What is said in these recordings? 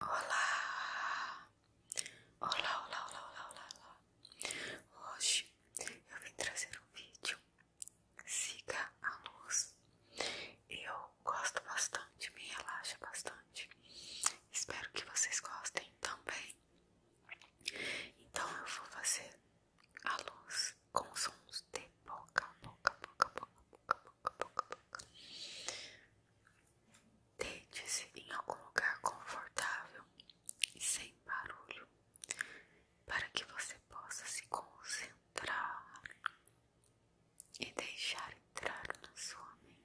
Olá! Olá, olá, olá, olá, olá, Hoje eu vim trazer um vídeo Siga a Luz. Eu gosto bastante, me relaxa bastante. Espero que vocês gostem também. Então eu vou fazer a luz com sons de boca, boca, boca, boca, boca, Deite-se em algum lugar confortável e sem barulho, para que você possa se concentrar e deixar entrar na sua mente.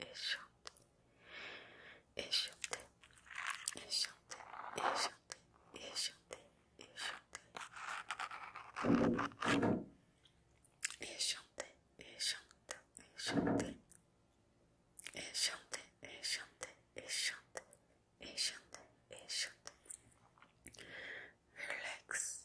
eşanti, eşanti, eşanti, eşanti, eşanti, eşanti, eşanti, eşanti, eşanti, eşanti, eşanti, eşanti, eşanti, eşanti, relax,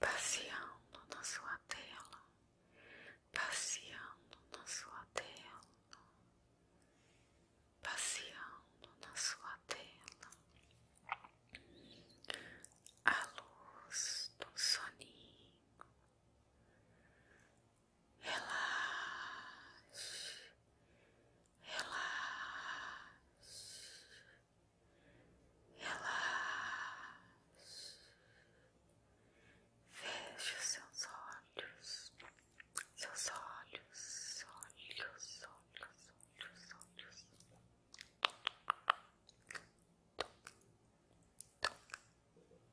passeando na sua tela, passeando na sua tela, passeando na sua tela, a luz do soninho, relaxe, relaxe, relaxe. Veja os seus olhos, seus olhos, olhos, olhos, olhos, olhos.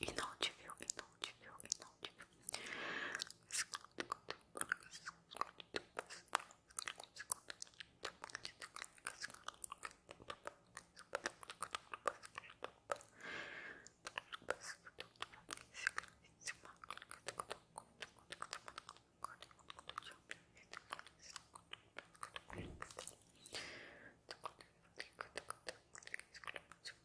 E não te viu, e não te viu, e não te viu. Thank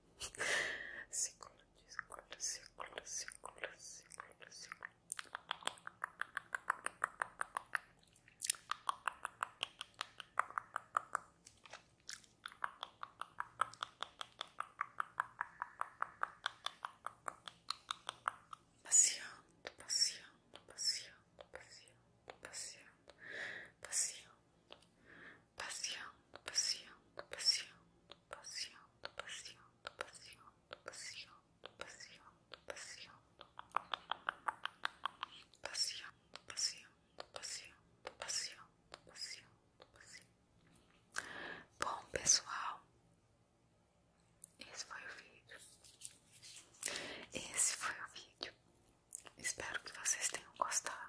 segura, segura, segura, segura, segura, segura. Passeando, passeando, passeando, passeando, passeando, passeando, passeando, passeando, passeando, passeando, passeando, passeando, passeando, passeando, passeando, passeando, passeando, passeando, passeando, passeando, Bom, pessoal, esse foi o vídeo. Esse foi o vídeo. Espero que vocês tenham gostado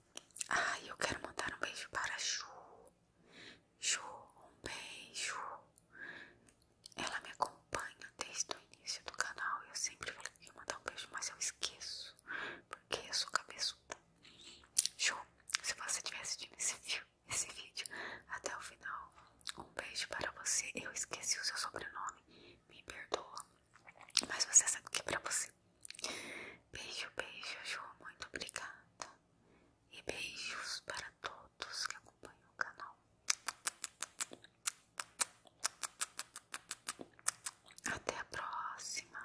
Ah, eu quero mandar um beijo para a Ju. Ju, um beijo. Ela me acompanha desde o início do canal. e Eu sempre falei que ia mandar um beijo, mas eu esqueço. Porque eu sou cabeçuda. Ju, se você tivesse assistindo esse vídeo até o final, um beijo para você. Eu esqueci o seu sobrenome. Me perdoa. Mas você sabe que pra você. Beijo, beijo, Ju. Muito obrigada. E beijos para todos que acompanham o canal. Até a próxima.